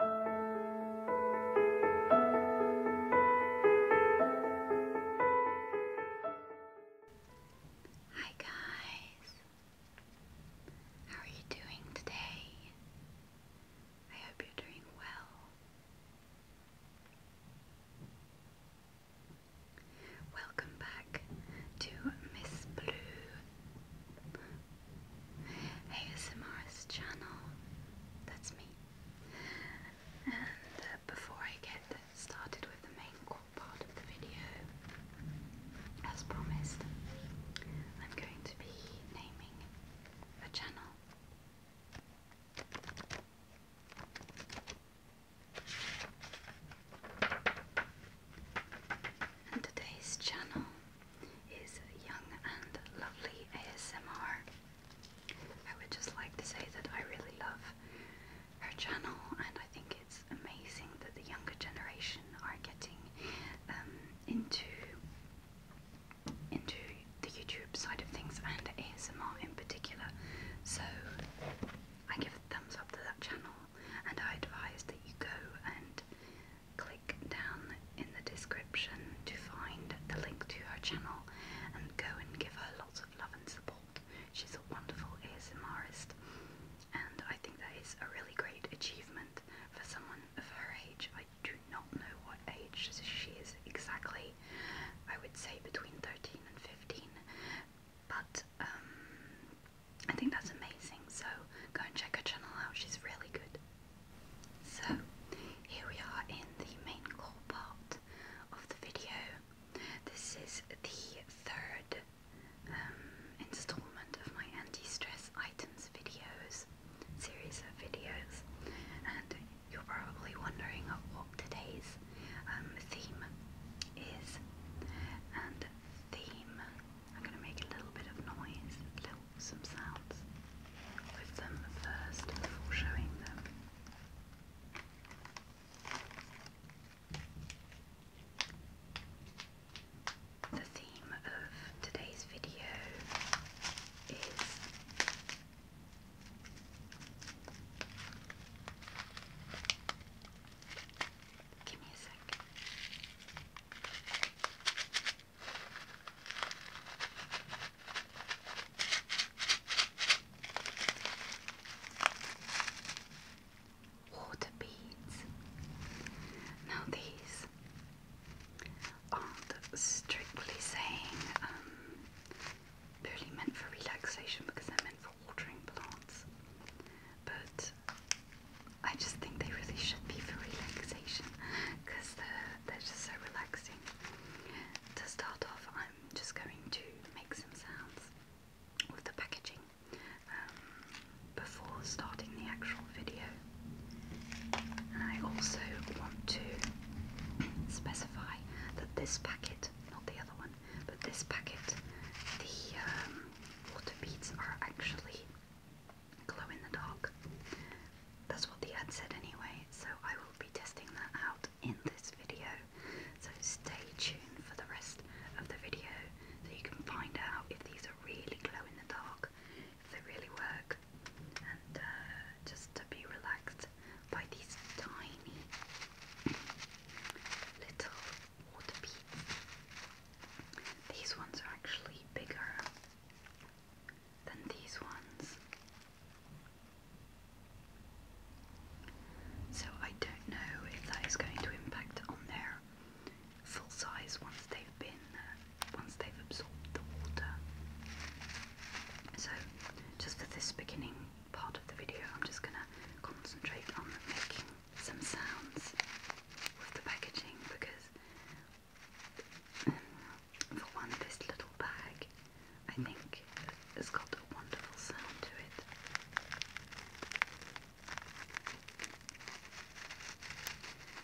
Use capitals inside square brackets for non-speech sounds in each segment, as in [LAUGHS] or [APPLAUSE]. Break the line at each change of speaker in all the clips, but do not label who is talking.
Hi guys. How are you doing today? I hope you're doing well. Welcome back to Miss Blue ASMR's channel. That's me. And uh, before I get started with the main part of the video, as promised, I'm going to be naming a channel. And today's channel is young and lovely ASMR. I would just like to say that I really love her channel and I think it's amazing that the younger generation are getting um, into into the YouTube side of things and ASMR in particular. So I give a thumbs up to that channel and I advise that you go and Click down in the description to find the link to her channel and go and give her lots of love and support. She's a wonderful ASMRist, and I think that is a really great achievement for someone of her age. I do not know what age she is exactly. I would say between 13 and 15, but um, I think that's amazing. So go and check her channel out, she's really good. So here we are in the main core part of the video. This is the third um, installment of my anti-stress items videos, series of videos, and you're probably wondering what today's um, theme is. And theme I'm going to make a little bit of noise, little, some sounds with them first before showing them. The theme of today's video is Give me a sec. Water beads. Now these aren't strictly saying purely um, meant for relaxation because they're meant for watering plants, but I just think they really should be for relaxation because they're, they're just so relaxing. To start off, I'm just going to make some sounds with the packaging um, before starting the actual video. And I also want to specify that this packet, not the other one, but this packet, the um, water beads are actually glow in the dark. That's what the ad said anyway, so I will be testing that out in this video. So stay tuned for the rest of the video so you can find out if these are really glow in the dark, if they really work, and uh, just to be relaxed by these tiny little water beads. These ones are actually bigger than these ones. So I don't know if that is going to impact on their full size once they've been uh, once they've absorbed the water. So just for this beginning part of the video, I'm just gonna concentrate on making some sounds with the packaging because for one, this little bag I think has got a wonderful sound to it.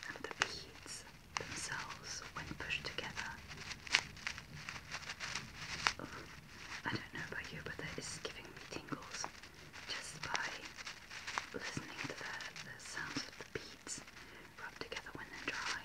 And the beads themselves, when pushed together, I don't know about you, but that is giving me tingles just by listening to the, the sounds of the beads. Rub together when they're dry.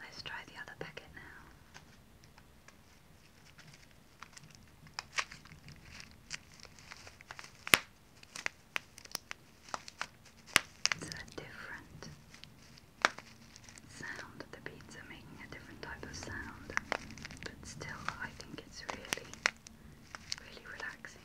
Let's try the other packet now. It's a different sound. The beads are making a different type of sound, but still, I think it's really, really relaxing.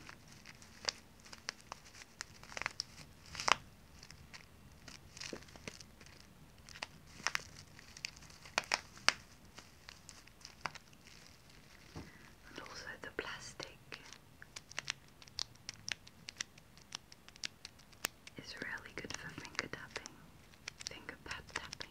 And also the plastic is really good for finger tapping, finger pad tapping.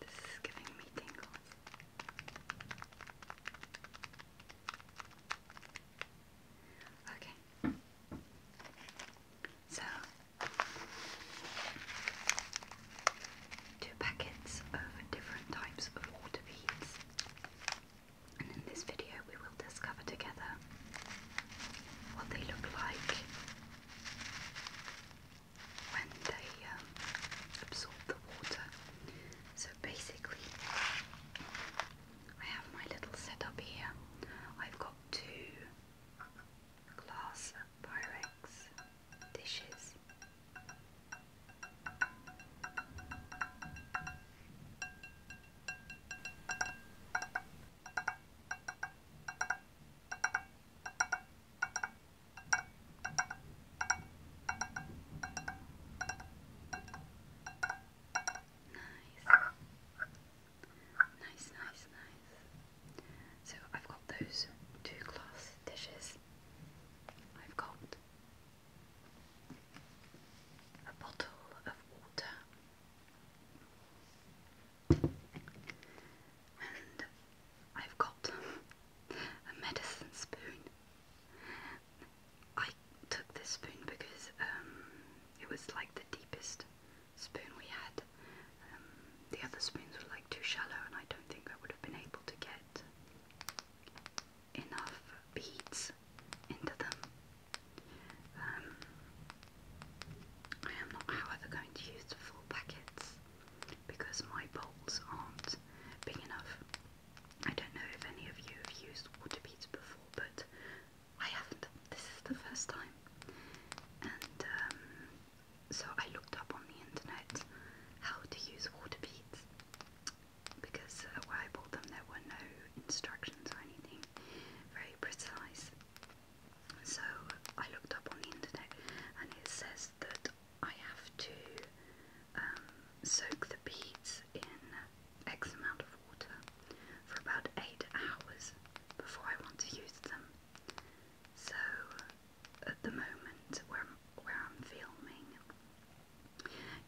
This is giving me tingles. Okay. So, two packets of different types of water beads. And in this video, we will discover together what they look like, when they um, absorb the water. So basically, I have my little setup here. I've got two glass Pyrex dishes. Nice, nice, nice. So I've got those two glass dishes. I've got a bottle of water. I've got a medicine spoon. I took this spoon because um, it was like the deepest spoon we had. Um, the other spoons were like too shallow, and I don't think I would have been able to get enough beads into them. Um, I am however, going to use the packets because my bowls aren't big enough. I don't know if any of you have used water beads before, but I haven't. This is the first time. And um, so I looked up on the internet how to use water beads because uh, where I bought them there were no instructions or anything very precise. So I looked up on the internet and it says that I have to um, soak the beads in X amount of water for about 8 hours before I want to use them. So at the moment where, where I'm filming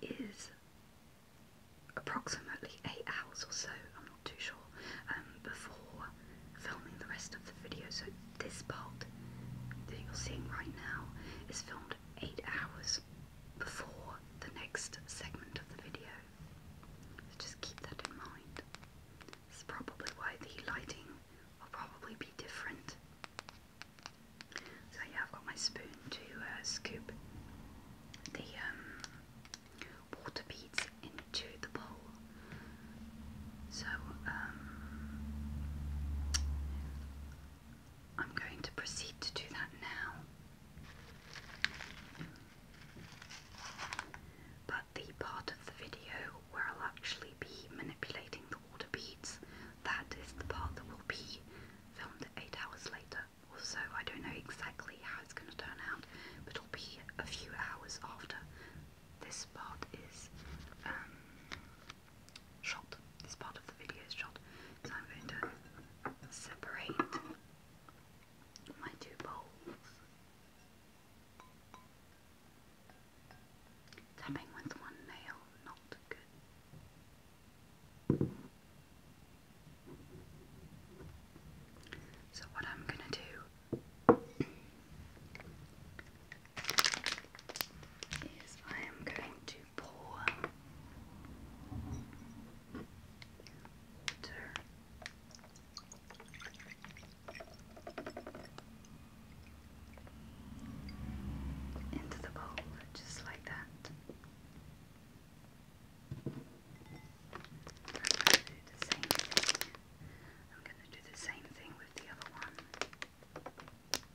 is approximately 8 hours or so, I'm not too sure, um, before filming the rest of video. So this part that you're seeing right now is filmed eight hours before the next segment of the video. So just keep that in mind. This is probably why the lighting will probably be different. So yeah, I've got my spoon to uh, scoop the um, water beads into the bowl. So, um, I'm going to proceed to do that now. But the part of the video where I'll actually be manipulating the water beads, that is the part that will be filmed 8 hours later or I don't know exactly how it's going to turn out, but it'll be a few hours after. This part is um, shot. This part of the video is shot. So I'm going to separate my two bowls. Tapping with one nail, not good. So what I'm going to do is I am going to pour water into the bowl just like that. I'm going to do the same thing. I'm going to do the same thing with the other one.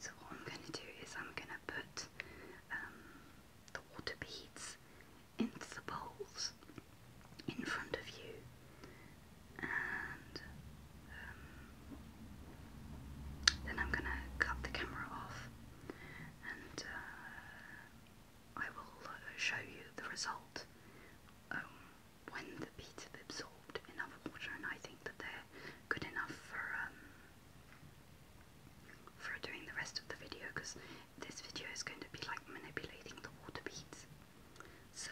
So what I'm going to do is I'm going to put um, the water beads into the bowls in front of you and um, then I'm going to cut the camera off uh, I will show you the result um, when the beads have absorbed enough water, and I think that they're good enough for um, for doing the rest of the video because this video is going to be like manipulating the water beads. So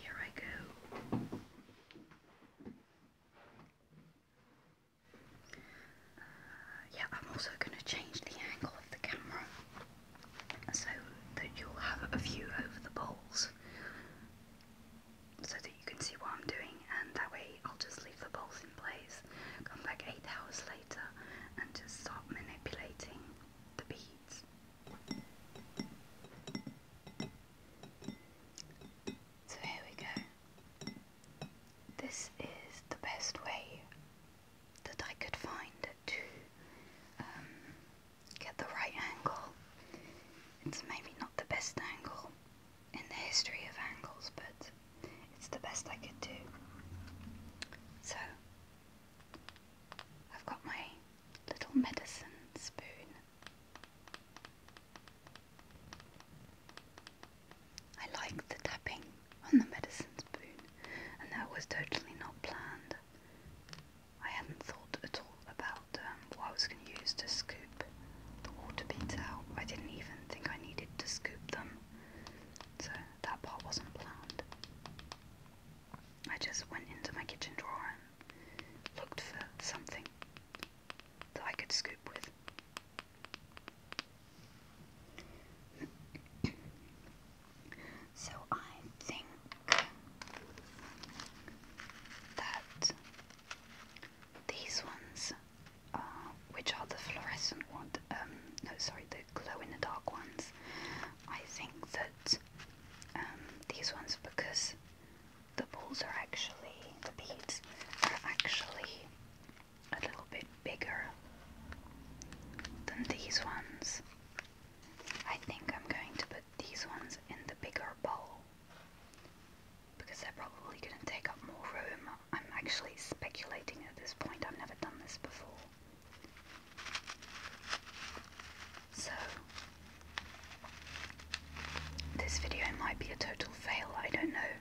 here I go. Uh, yeah, I'm also going to change the angle of the camera so that you'll have a view over the bowls so that you can see what I'm doing and that way I'll just leave the bowls in place, come back 8 hours later and just start manipulating the beads. So here we go. This is the best way that I could find to um, get the right angle. It's maybe not the best angle in the history of angles, but it's the best I could do. So, I've got my little medicine spoon. I like the tapping on the medicine spoon, and that was totally not planned. I hadn't thought at all about um, what I was going to use to scoop the water beads I didn't even think I needed to scoop them, so that part wasn't planned. I just went into my kitchen drawer and looked for something that I could scoop with. So I think that these ones, which are the fluorescent ones, um, no, sorry, the glow in the dark ones, I think that um, these ones, because the balls are actually, the beads are actually a little bit bigger than these ones. I think I'm going to put these ones in the bigger bowl because they're probably going to take up more room. I'm actually speculating at this point, I've never done this before. So, this video might be a total fail, I don't know,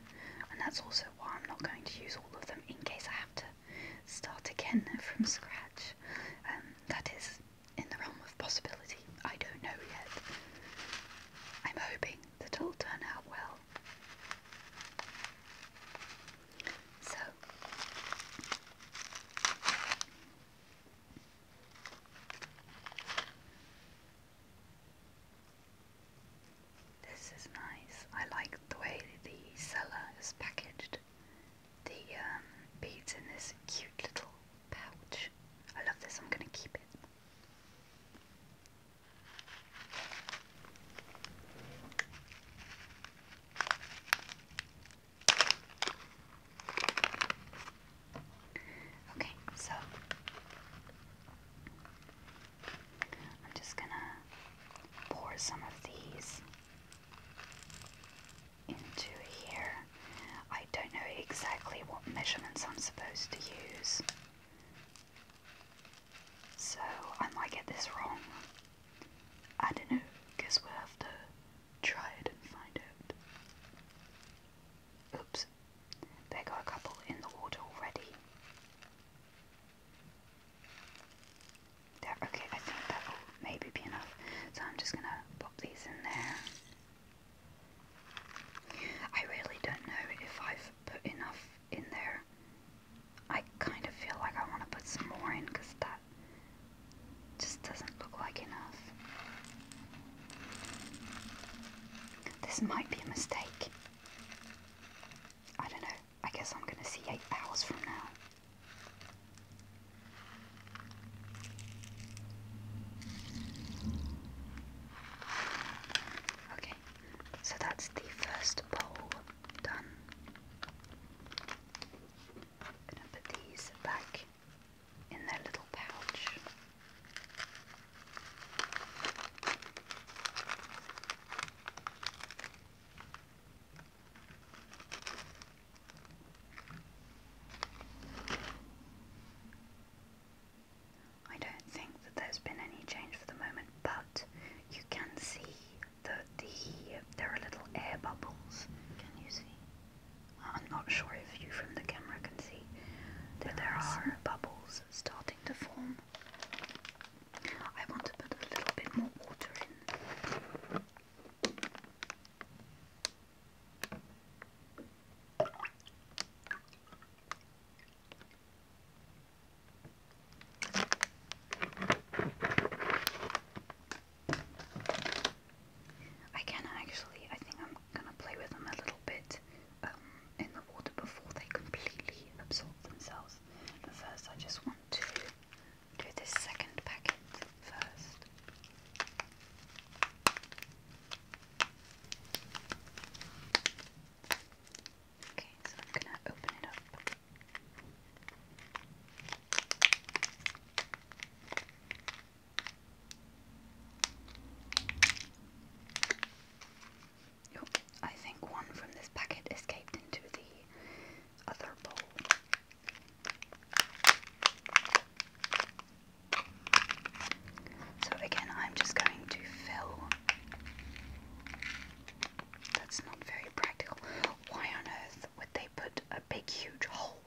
and that's also why I'm not going to use all of them in case I have to start again from scratch. Um, that is in the realm of possibility. I don't know yet. I'm hoping that it'll turn out well. So, this is nice. I like the way the seller is packaged the um, beads in this cute little pouch. I love this, I'm going to keep it. Okay, so I'm just gonna pour some of these into here. I don't know exactly what measurements I'm supposed to use, so I might get this wrong. I don't know, guess we'll have to try it and find out. Oops, there go a couple in the water already. There, okay, I think that will maybe be enough. So I'm just gonna pop these in there. I really don't know if I've put enough in there. I kind of feel like I want to put some more in because that just doesn't look like enough. This might be a mistake. I don't know. I guess I'm gonna see eight hours from now. Okay, so that's the first pole done. gonna put these back in their little pouch. I don't think that there's been any change for the moment, but you can see that the there are little air bubbles. Can you see? I'm not sure if you from the camera can see that there are bubbles starting to form. I want to put a little bit more water in. I can actually, I think I'm gonna play with them a little bit um, in the water before they completely absorb themselves. But first, I just want to do this second packet first. Okay, so I'm going to open it up. Oh, I think one from this packet escaped into the other bowl. So again, I'm just going to fill. That's not very practical. Why on earth would they put a big, huge hole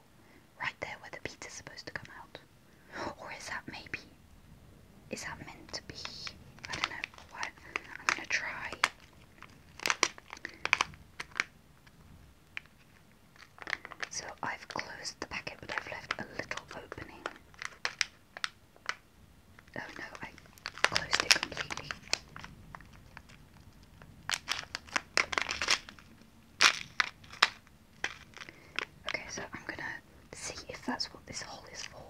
right there where the pizza's supposed to come out? Or is that maybe. Is that meant to be? I don't know what. I'm gonna try. So I've closed the packet but I've left a little opening. Oh no, I closed it completely. Okay, so I'm gonna see if that's what this hole is for.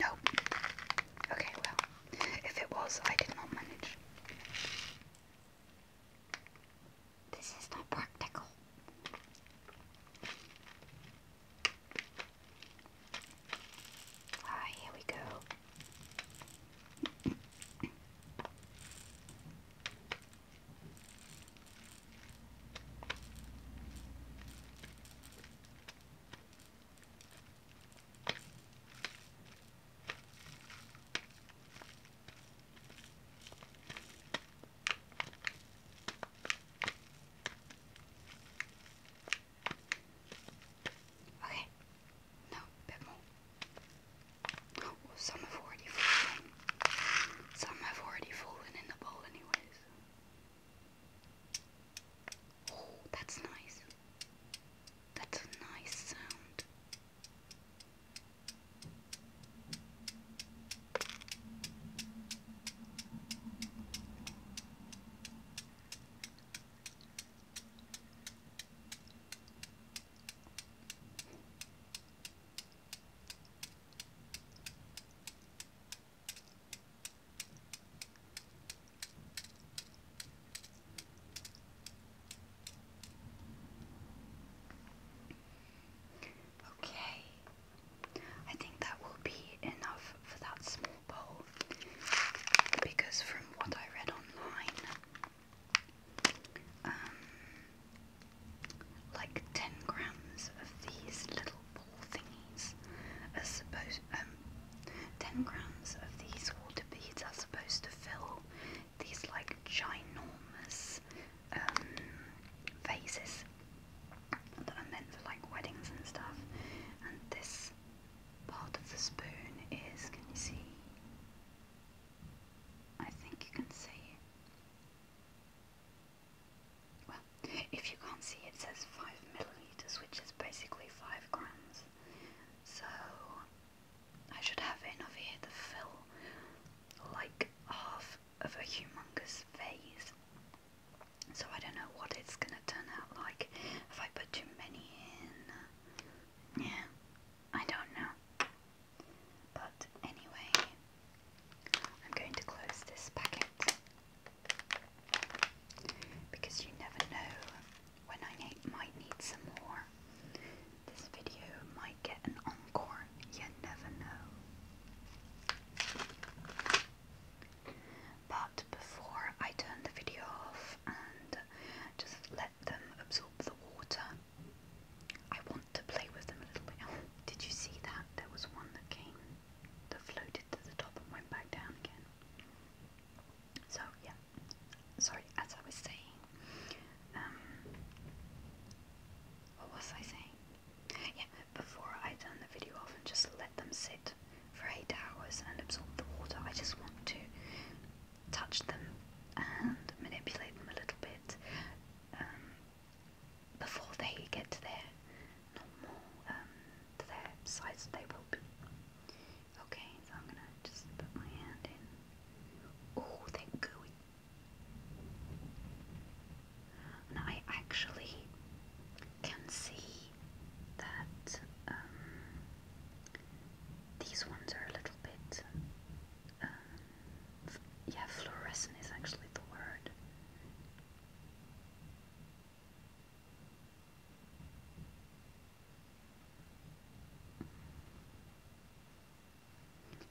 No. Okay, well, if it was, I did not manage. This is not practical. Ah, here we go. Okay, no, bit more. some have already fallen. Some have already fallen in the bowl, anyways. Oh, that's nice. That's a nice sound. Okay, I think that will be enough for that small bowl because, from what I read online, um, like 10 grams of these little ball thingies are supposed um 10 grams of these water beads are supposed to fill these like ginormous um, vases that are meant for like weddings and stuff and this part of the spoon is can you see I think you can see if you can't see, it says 5 milliliters, which is basically 5 grams. So, I should have enough here to fill like half of a humongous vase. So, I don't know what it's gonna turn out like if I put too many in. Yeah, I don't know. But anyway, I'm going to close this packet because you never know when I might need some more. This video might get an encore, you never know. But before I turn the video off and just let them absorb the water, I want to play with them a little bit. Oh, did you see that? There was one that came, that floated to the top and went back down again. So yeah, sorry, as I was saying, um, what was I saying? Yeah, before I turn the video off and just let them sit for eight hours and absorb the water, I just want to touch them and manipulate them a little bit um, before they get to their normal um, to their size they will be. Okay, so I'm gonna just put my hand in. Oh, they're gooey. And I actually can see that um, these ones are a little bit. Um, yeah, fluorescent is actually the word.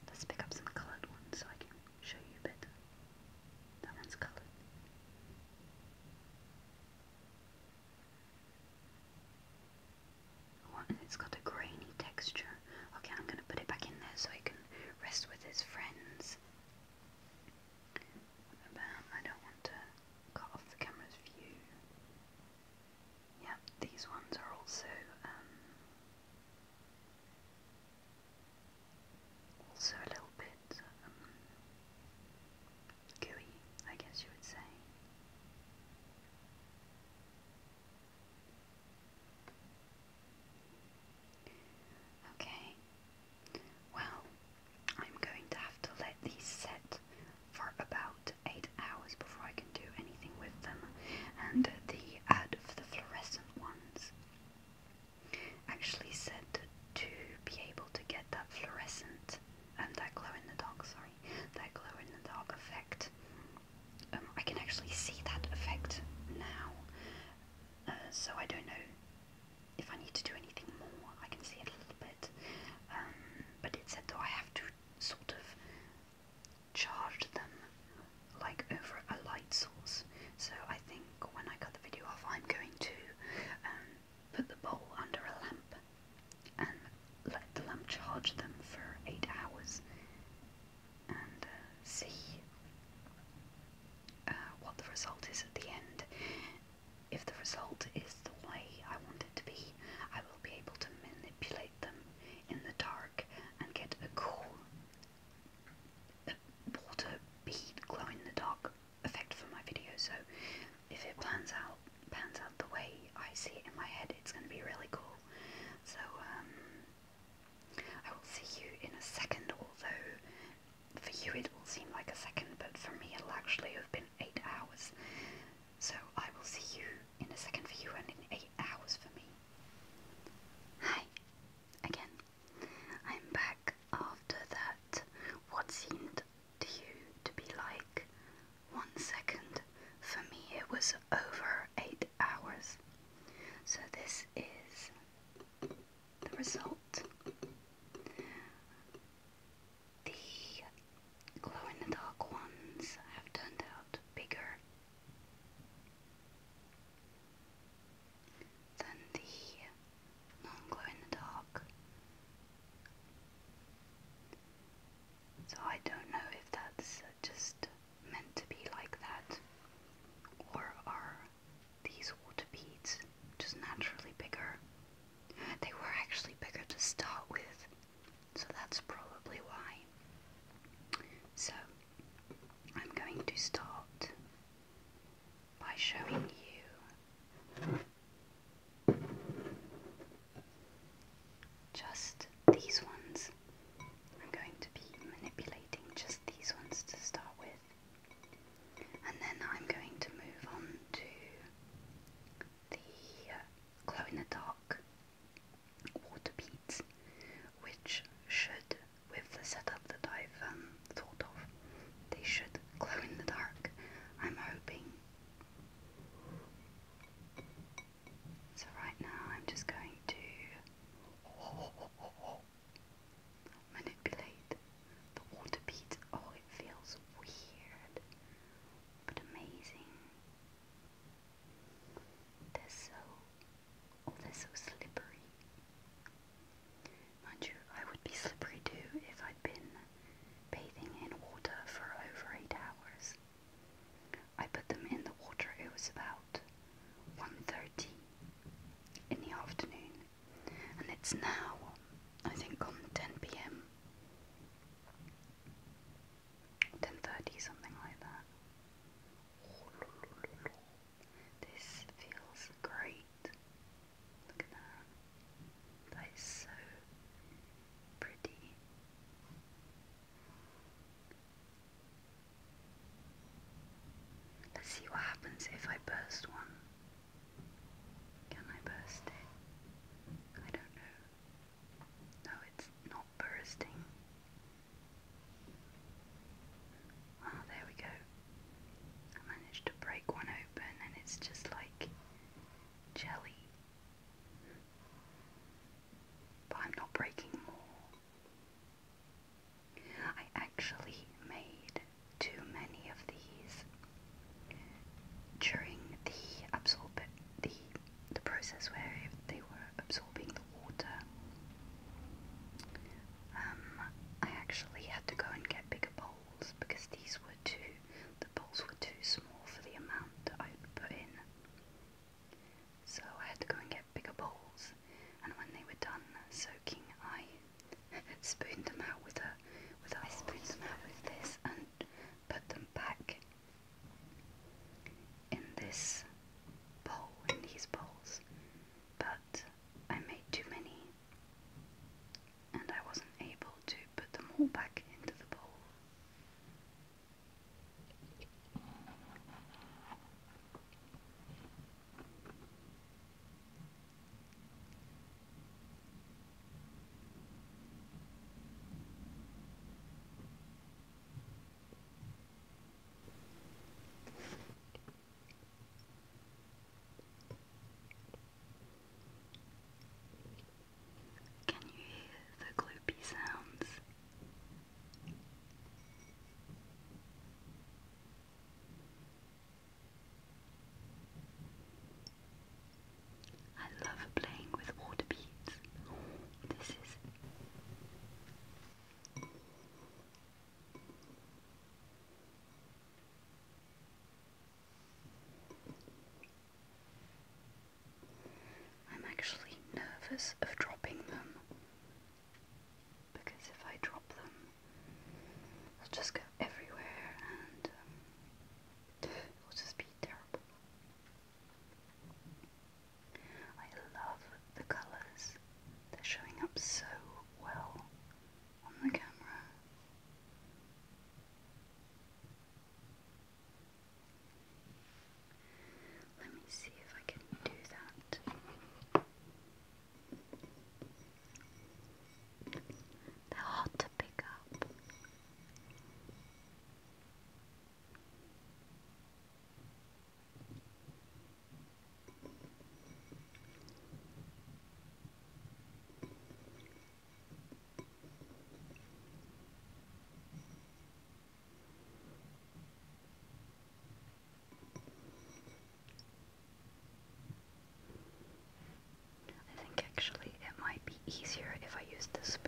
Let's pick up some coloured ones so I can show you better. That one's coloured. and it's got a grainy texture. Okay, I'm going to put it back in there so it can rest with its friends about I don't want to cut off the camera's view. Yeah, these ones are also um, also a little bit um, gooey, I guess you would say. Okay, well, I'm going to have to let these set for about 8 hours before I can do anything with them. And the ad for the fluorescent ones actually said to be able to get that fluorescent, um, that glow in the dark, sorry, that glow in the dark effect. Um, I can actually see that effect now, uh, so I don't know if I need to do anything more, I can see a little bit. Um, but it said though I have to sort of charge them like over a light source. So I think when I cut the video off, I'm going to um, put the bowl under a lamp and let the lamp charge them for eight hours and uh, see uh, what the result is at the end. If the result is the way I want it to be, I will be able to manipulate them in the dark and get a cool a uh, water bead glow in the dark effect for my video. So if it plans out pans out the way I see it in my head, it's gonna be really cool. So um, I will see you in a second, although for you it will seem like a second, but for me it'll actually have been eight hours. So I will see you in a second for you and in eight hours for me. Hi, again. I'm back after that, what seemed to you to be like one second, for me it was over eight hours. So this is the result. The glow in the dark ones have turned out bigger than the non glow in the dark. So I don't know if that's just meant to be like that or are these water beads just naturally bigger they were actually bigger to start with, so that's probably why. So, I'm going to start by showing you just these ones. I'm going to be manipulating just these ones to start with. And then I'm going to move on to the uh, glow in the dark water beads, which should, with the setup that I've um, thought of, they should glow in the dark. I'm hoping. So, right now, I'm just going to [LAUGHS] manipulate the water beats, oh, it feels weird, but amazing. They're so, oh, they're so slippery. Mind you, I would be slippery too if I'd been bathing in water for over eight hours. I put them in the water, it was about 1.30 in the afternoon and it's now, I think, on 10 pm, 10:30, something like that. This feels great. Look at that. That is so pretty. Let's see what happens if I burst one. Can I burst it? I don't know. No, it's not bursting. Ah, there we go. I managed to break one open and it's just like jelly. But I'm not breaking more. I actually made too many of these during the absorb the the process where they were absorbing the water. Um, I actually had to go and get bigger bowls because these were too the bowls were too small for the amount that I would put in. So I had to go and get bigger bowls, and when they were done soaking, I [LAUGHS] spooned them out with a with a I spooned them out with this and put them back in this bowl, in these bowls, but I made too many and I wasn't able to put them all back into the bowl. Can you hear the gloopy sounds? I love playing with water beads. This is I'm actually nervous of dropping them because if I drop them, they'll just go everywhere and um, will just be terrible. I love the colours. They're showing up so well on the camera. Let me see if I can do that. They're hard to pick up. I think actually it might be easier if I use the spoon.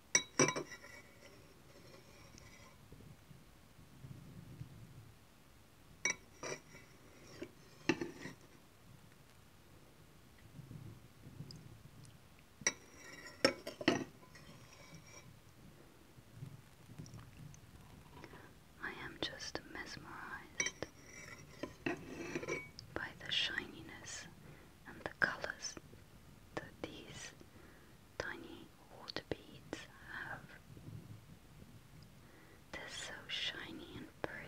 I am just mesmerized by the shininess and the colors that these tiny water beads They're so shiny and pretty.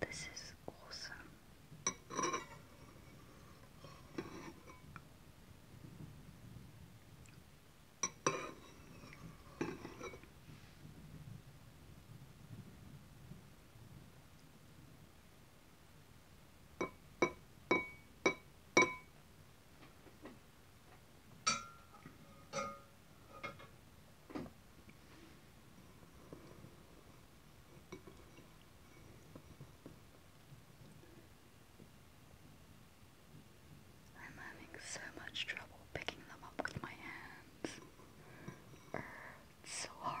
This is awesome. I'm having so much trouble picking them up with my hands. Er, it's so hard.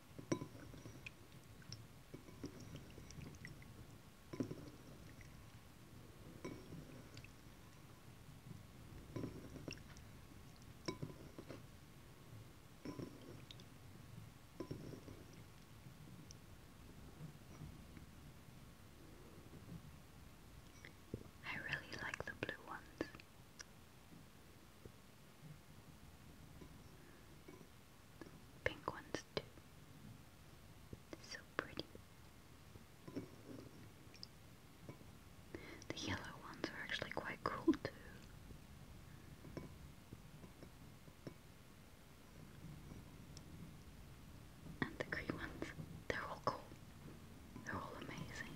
I really like the blue ones. Pink ones too. So pretty. The yellow ones are actually quite cool too. And the green ones, they're all cool. They're all amazing.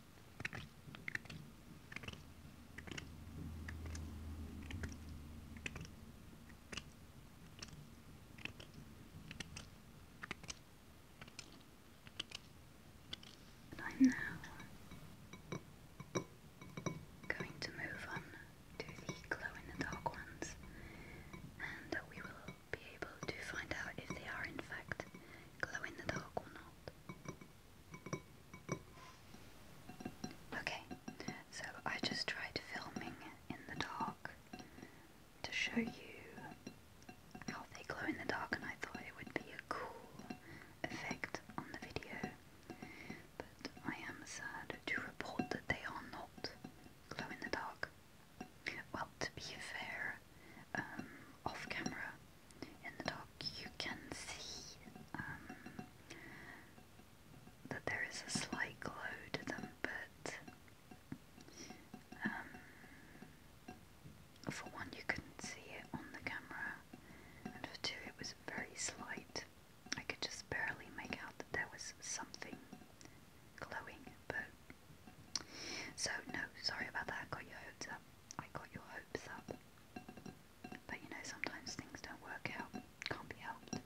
I'm now going to move on to the glow in the dark ones, and we will be able to find out if they are in fact glow in the dark or not. Okay, so I just tried filming in the dark to show you how they glow in the dark, and I thought it would be a cool effect on the video. But I am sad to report that they are not glow in the dark. Well, to be fair, um, off camera, in the dock you can see um, that there is a slight glow to them, but um, for one, you couldn't see it on the camera, and for two, it was very slight. I could just barely make out that there was something glowing, but so no, sorry about that. got your hopes up. I got your hopes up. But you know, sometimes things don't work out. Can't be helped.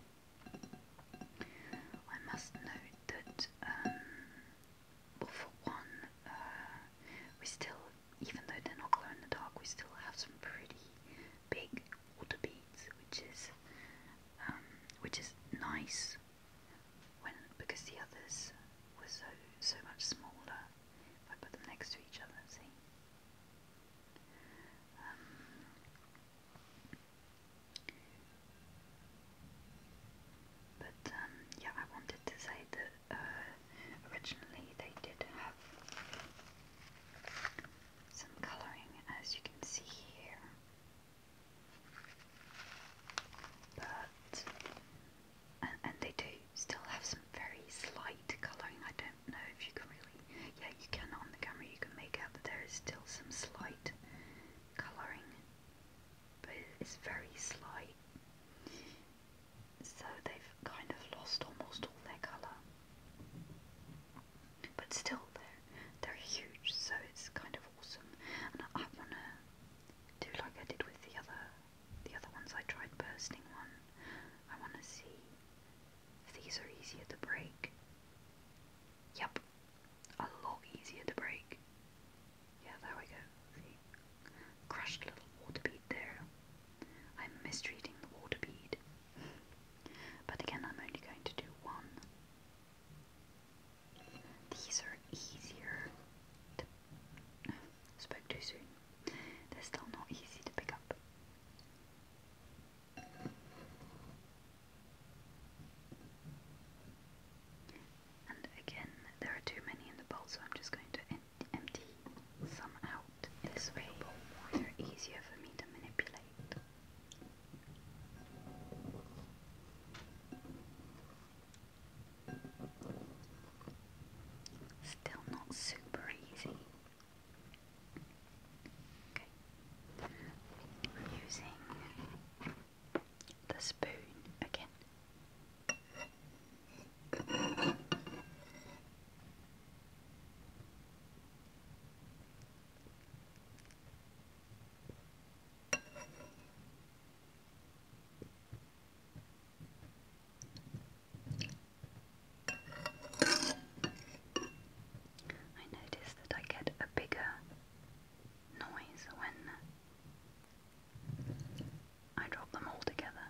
I must note that, um, well, for one, uh, we still, even though they're not glow in the dark, we still have some pretty big water beads, which is, um, which is nice. When because the others were so so much smaller if I put them next to each other, see? Um, but um, yeah, I wanted to say that uh, originally they did have some colouring, as you can see here. But and, and they do still have some very slight colouring. I don't know if you can really, yeah, you can on the camera, you can make out that there is still some slight colouring, but it's very slight. So they've kind of lost almost all their colour, but still they're they're huge. So it's kind of awesome, and I, I wanna do like I did with the other the other ones I tried bursting one. I want to see if these are easier to break. Yep, a lot easier to break. Yeah, there we go. See? Crushed little water bead there. I'm mistreating the water bead. but again, I'm only going to do one. These are easier to spoke too soon. They're still not easy to pick up. And again, there are too many in the bowl, so I'm just going to empty some out. This way, they're easier for me to manipulate. Still not super easy. Okay. using the spoon again. I notice that I get a bigger noise when I drop them all together.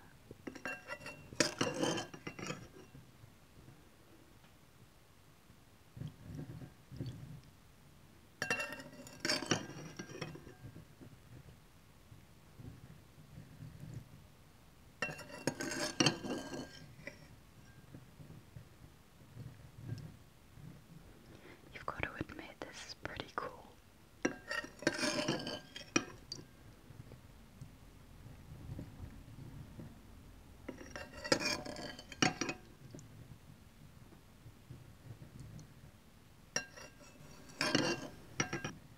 You've got to admit, this is pretty cool.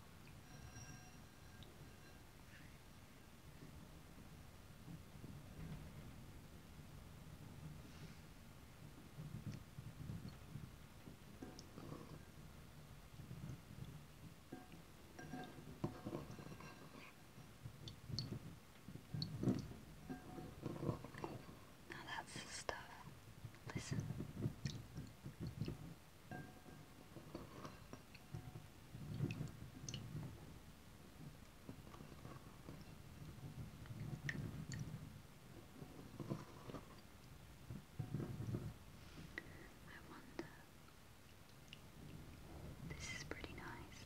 Now that's the stuff. Listen. I wonder. This is pretty nice.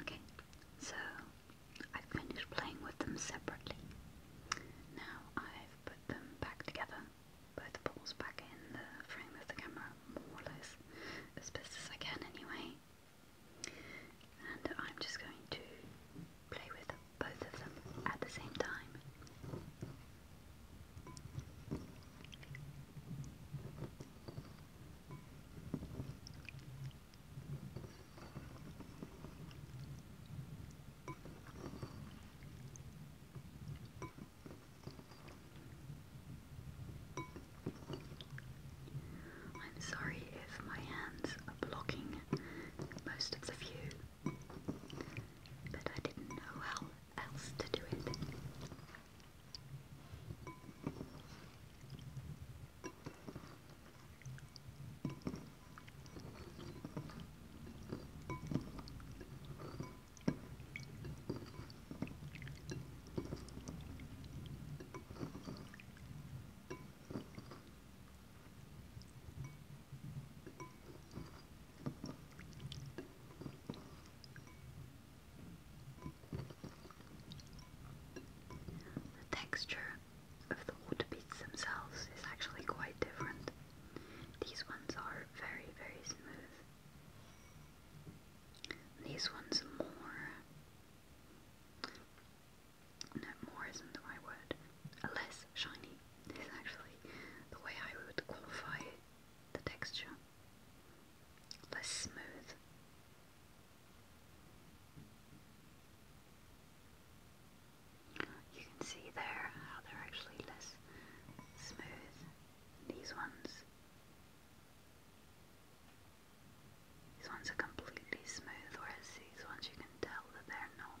Okay, so i finished playing with them separately. Now I've put them back together, both balls back in the frame of the camera, more or less, as best as I can anyway. And I'm just going to play with both of them at the same time. I'm sorry if my hands are blocking most of the view, but I didn't know how else to do it. The texture of the water beads themselves is actually quite different. These ones are very, very smooth. These ones are more. No, more isn't the right word. Less shiny is actually the way I would qualify the texture, less smooth. You can see there how they're actually less smooth, these ones. These ones are completely smooth, whereas these ones you can tell that they're not.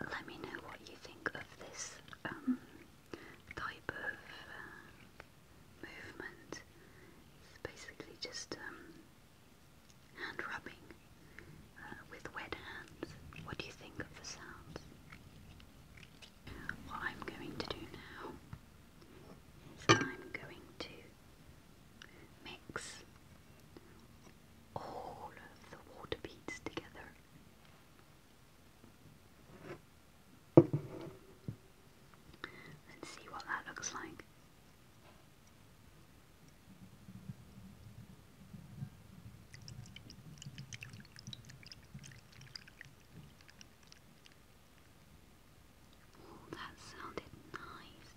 Let me know what you think of this um, type of uh, movement. It's basically just um, hand rubbing uh, with wet hands. What do you think of the sounds? What I'm going to do now is I'm going to mix all of the water beads together. And see what that looks like. Oh, that sounded nice.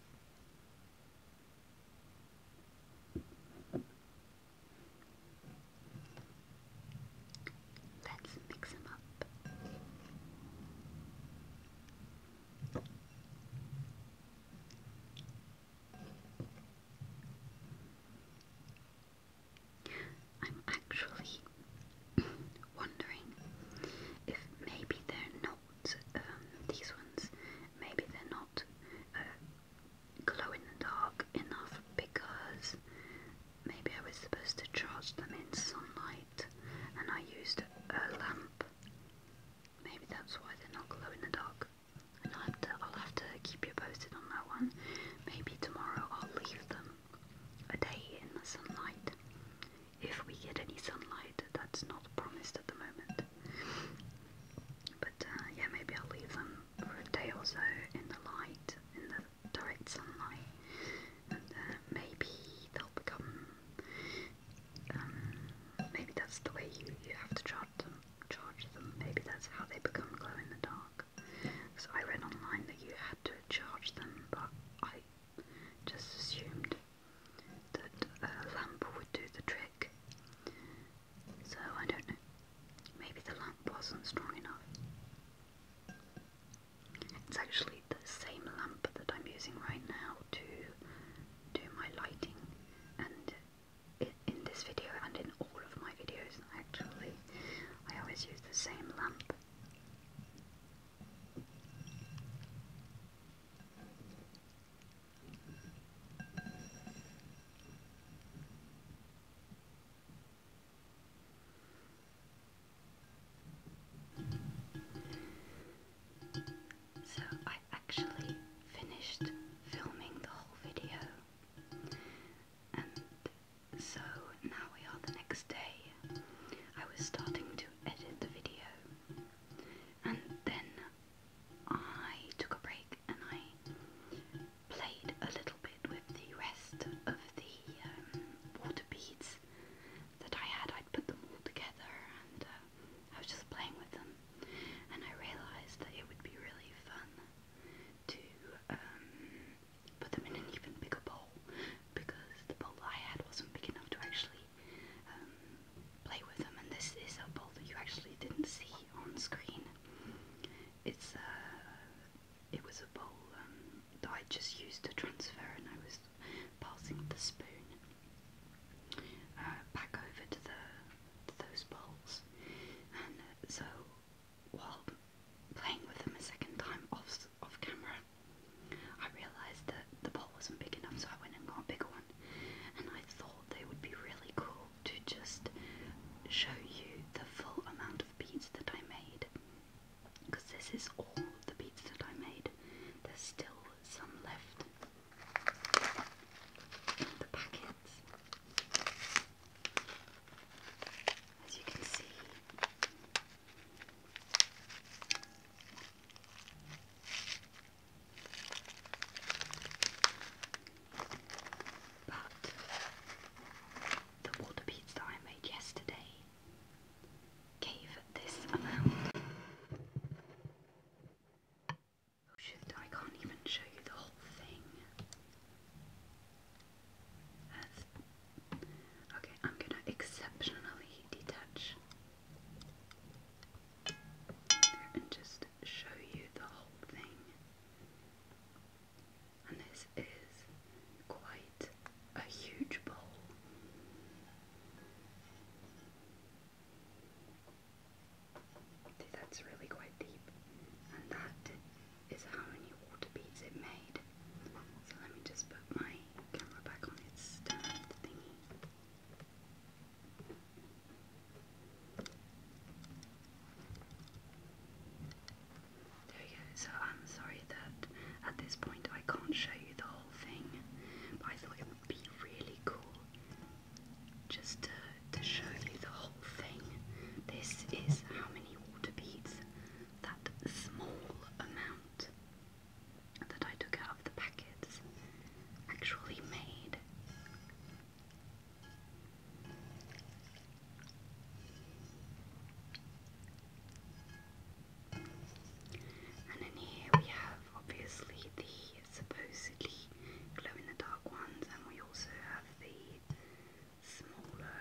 Let's mix them up. I'm actually [COUGHS] wondering if maybe they're not um, these ones. Maybe they're not uh, glow in the dark enough because maybe I was supposed to charge them in sunlight and I used a lamp. Maybe that's why they're not glow in the dark. I'll have to keep you posted on that one. Maybe tomorrow I'll leave them a day in the sunlight. If we get any sunlight, that's not promised at the moment. But uh, yeah, maybe I'll leave them for a day or so in the light, in the direct sunlight, and uh, maybe they'll become. Um, maybe that's the way you, you have to charge them. Charge them. Maybe that's how they become glow in the dark. So I read online that you had to charge them, but I just assumed that a lamp would do the trick. So I don't know. Maybe the lamp wasn't strong enough. It's actually the same lamp that I'm using right now to do my lighting and in this video and in all of my videos actually I always use the same lamp. So I actually finished filming the whole video and so now we are the next day. I was starting to edit the video and then I took a break and I played a little bit with the rest of the um, water beads that I had. I'd put them all together and uh, I was just playing with them and I realised that it would be really fun to um, put them in an even bigger bowl because the bowl that I had wasn't big enough to actually um, play with them and this is a bowl that you actually didn't see see on screen. It's uh, it was a bowl um, that I just used to transfer, and I was passing the spoon uh, back over to the to those bowls, and uh, so while playing with them a second time off off camera, I realised that the bowl wasn't big enough, so I went and got a bigger one, and I thought they would be really cool to just show you the full amount of beads that I made because this is all the beads that I made. There's still some left in the packets. As you can see, but the water beads that I made yesterday gave this amount. Oh, I can't even show you the whole thing. okay, I'm gonna exceptionally detach and just show you the whole thing. And this is quite a huge bowl. that's really quite deep. And that is how many water beads it made. So let me just put my camera back on its stand thingy. So I'm sorry that at this point I can't show you the whole thing, but I thought it would be really cool just to, to show you the whole thing. This is how many water beads that small amount that I took out of the packets actually made. And in here we have obviously the supposedly glow in the dark ones, and we also have the smaller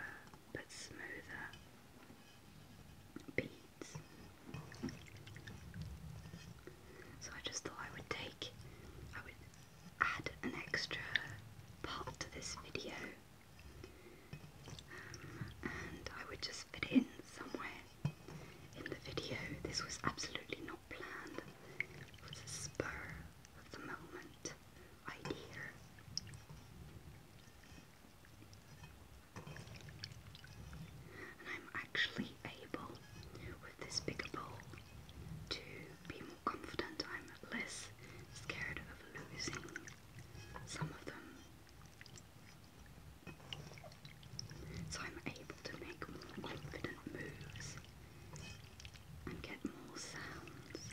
but smoother beads. So I just thought I would take, I would add an extra part to this video um, and I would just fit in somewhere in the video. This was absolutely not planned. It was a spur of the moment idea. And I'm actually able, with this bigger bowl to be more confident. I'm less scared of losing some of them. So I'm able to make more confident moves and get more sounds.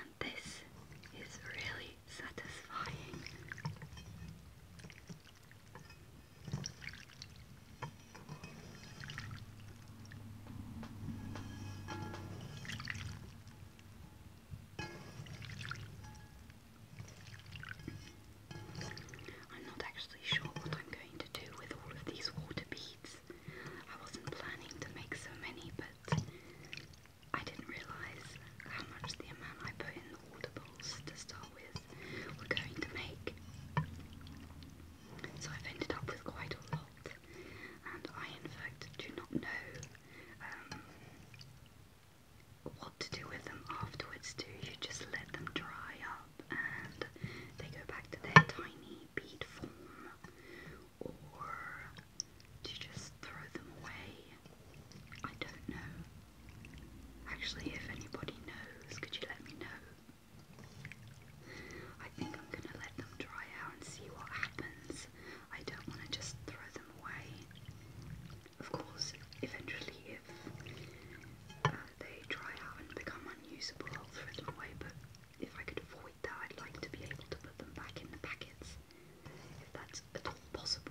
and this is really satisfying. I'm not actually sure what I'm going to do with all of these water beads. I wasn't planning to make so many, but I didn't realise how much the amount I put in the water audibles to start with were going to make. So I've ended up with quite a lot, and I in fact do not know um, what to do with them afterwards. Do you just let them dry up and they go back to their tiny bead form, or to just throw them away. I don't know. Actually, if anybody knows, could you let me know? I think I'm gonna let them dry out and see what happens. I don't want to just throw them away. Of course, eventually, if uh, they dry out and become unusable, I'll throw them away, but if I could avoid that, I'd like to be able to put them back in the packets if that's at all possible.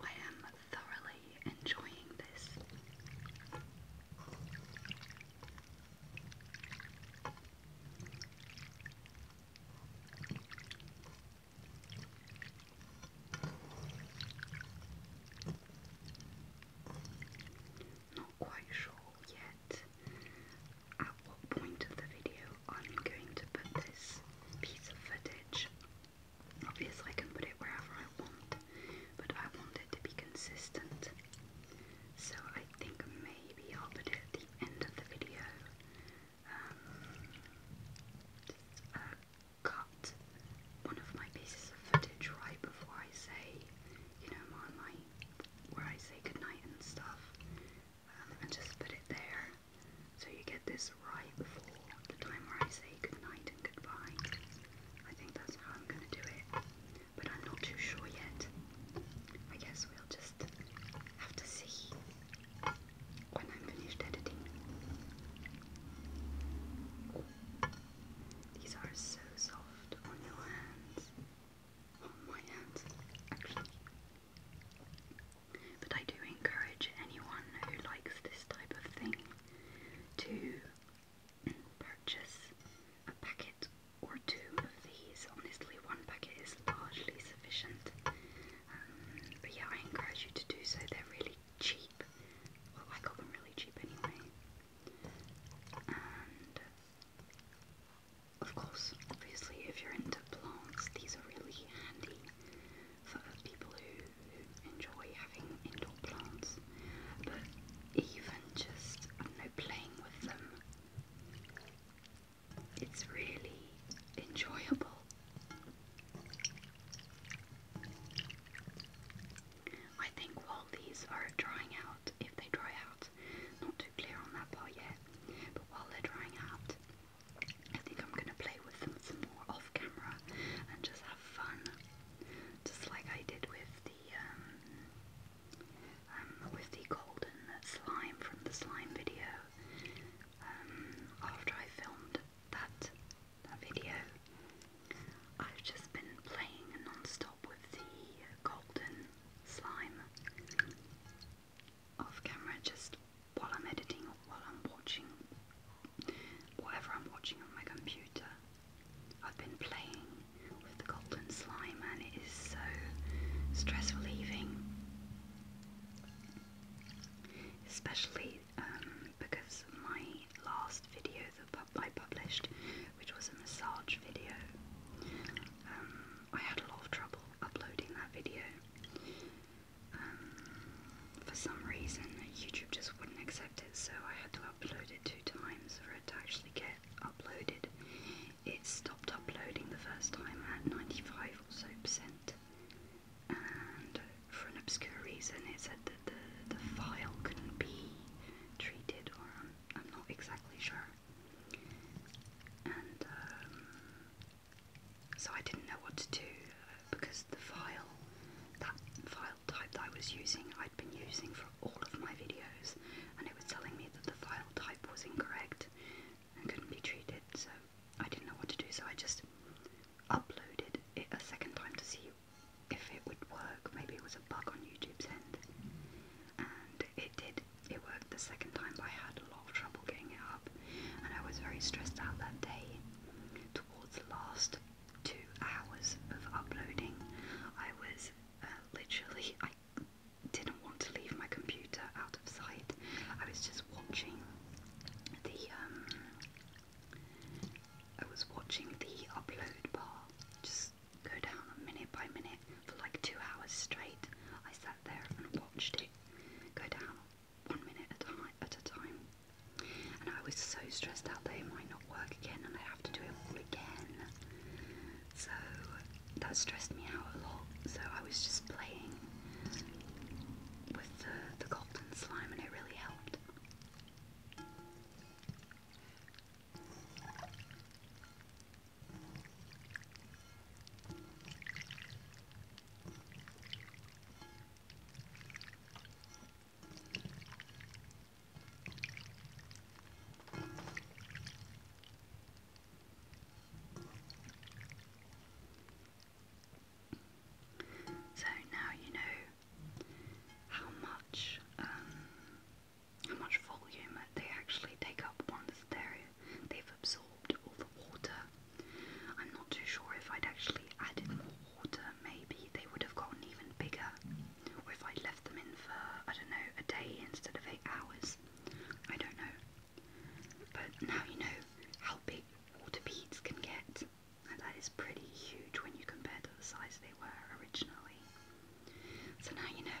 I am thoroughly enjoying this. Not quite sure yet at what point of the video I'm going to put this piece of footage Obviously I can put it wherever I want, but I want it to be consistent. So I think maybe I'll put it at the end of the video. Um, uh, cut one of my pieces of footage right before I say, you know, my, where I say goodnight and stuff, um, and just put it there, so you get this right before the time where I say goodnight and goodbye. I think that's how I'm gonna do it, but I'm not too sure yet. I guess we'll just have to see when I'm finished editing. These are so soft on your hands. On my hands, actually. But I do encourage anyone who likes this type of thing to purchase a packet or two of these. Honestly, one packet is largely sufficient. Um, but yeah, I encourage you to do so. They're really cheap. Well, I got them really cheap anyway. And of course, obviously, if you're into plants, these are really handy for people who, enjoy having indoor plants, but even just, I know, playing with them, it's really enjoyable. I think while these are drying out, if they dry out, not too clear on that part yet, but while they're drying out, I think I'm going to play with them some more off camera and just have fun just like I did with the um, um, with the golden slime from the slime video. Um, after I filmed that that video, I've just been playing non with the golden slime off camera, just while I'm editing or while I'm watching whatever I'm watching on my computer. I've been playing with the golden slime and it is so stress relieving, especially um, because my last video that I published, which was a massage video, um, I had a lot of trouble uploading that video. Um, for some reason YouTube just wouldn't accept it, so I had to upload it two times for it to actually get uploaded. It stopped uploading the first time at 95 or so percent, and for an obscure reason, it said that the, the file couldn't be treated, or I'm, not exactly sure. And um, so I didn't know what to do uh, because the file, that file type that I was using I'd been using for all of my videos and it was telling me that the file type was incorrect and couldn't be treated so I didn't know what to do so I just uploaded it a second time to see if it would work. Maybe it was a bug on YouTube's end and it did. It worked the second time but I had a lot of trouble getting it up and I was very stressed out that day. Towards the last two hours of uploading. I was uh, literally, I didn't want to leave my computer out of sight. I was just watching the, um, I was watching the upload bar just go down minute by minute for like two hours straight. I sat there and watched it go down one minute at a time. And I was so stressed out that it might not work again and I'd have to do it all again. So that stressed me out a lot. So I was just playing with the, the golden slime and it really helped. So now you know how much um, how much volume they actually take up once they're, they've absorbed all the water. I'm not too sure if I'd actually added more water, maybe they would have gotten even bigger. if I left them in for, I don't know, a day instead of eight hours. I don't know. But now you know how big water beads can get. And that is pretty huge when you compare to the size they were originally. So now you know.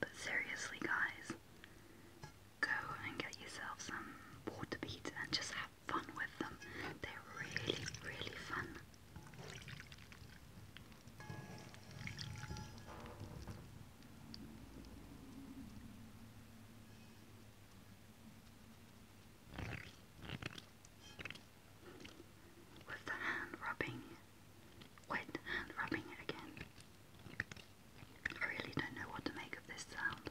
But seriously, guys, go and get yourself some water beads and just have fun with them. They're really, really fun. With the hand rubbing wet and rubbing again. I really don't know what to make of this sound.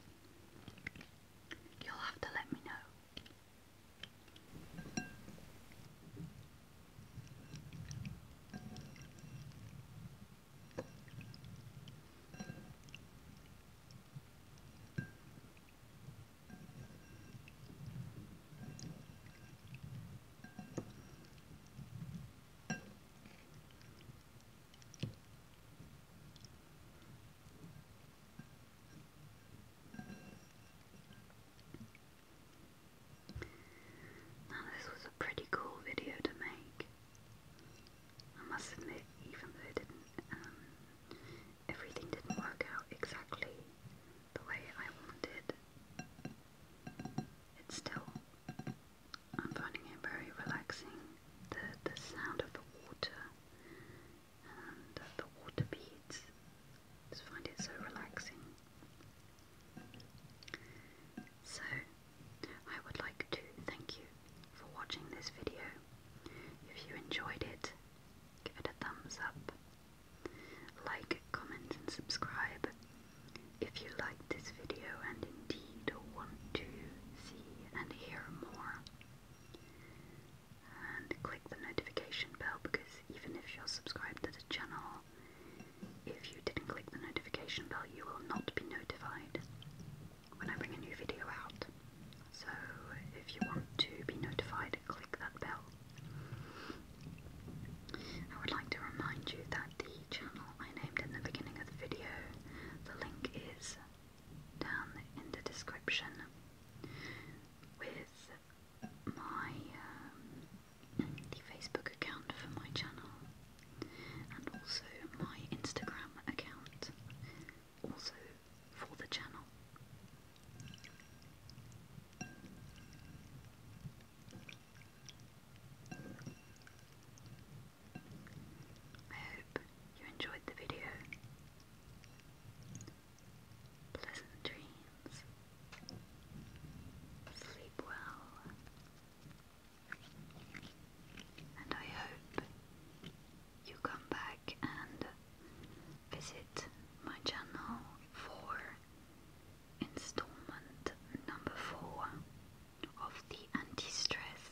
You'll have to let me know. Now this was a pretty cool video to make. I must admit, even though it didn't, um, everything didn't work out exactly the way I wanted. It's still, I'm finding it very relaxing, the, the sound of the water and the water beads. just find it so relaxing. So, I would like to thank you for watching this video. If you enjoyed it, give it a thumbs up like, comment and subscribe if you like this video and indeed want to see and hear more. And click the notification bell because even if you're subscribed to the channel, if you didn't click the notification bell, you will not be notified when I bring a new video out. So, if you want to be notified, click that bell. I would like to remind you that the channel I named in the beginning of the video, the link is down in the description with my um, the Facebook account for my channel and also my Instagram account also for the channel. I hope you enjoyed the video. Pleasant dreams. Sleep well. And I hope you come back and visit my channel for installment number four of the anti stress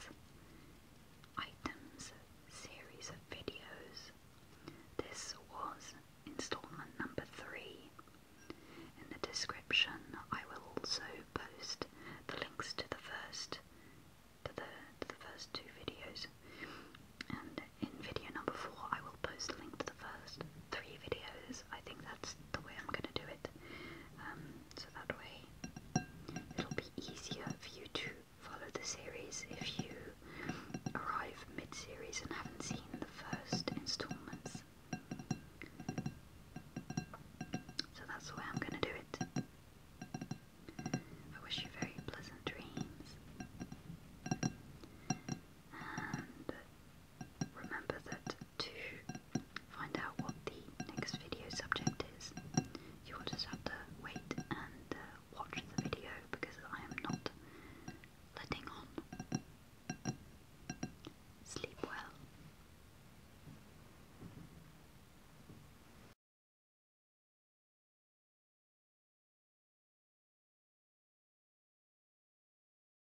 items series of videos. This was installment number three. In the description, I will also post the links to the first. To the, to the first two videos, and in video number four, I will post a link to the first three videos I think that's the way I'm gonna do it. Um, so that way it'll be easier for you to follow the series if you arrive mid series and haven't seen the first installments. So that's the way I'm gonna do it. I wish you very pleasant dreams. And remember that to find out what the next video subject is, you will just have to wait and uh, watch the video because I am not letting on. Sleep well.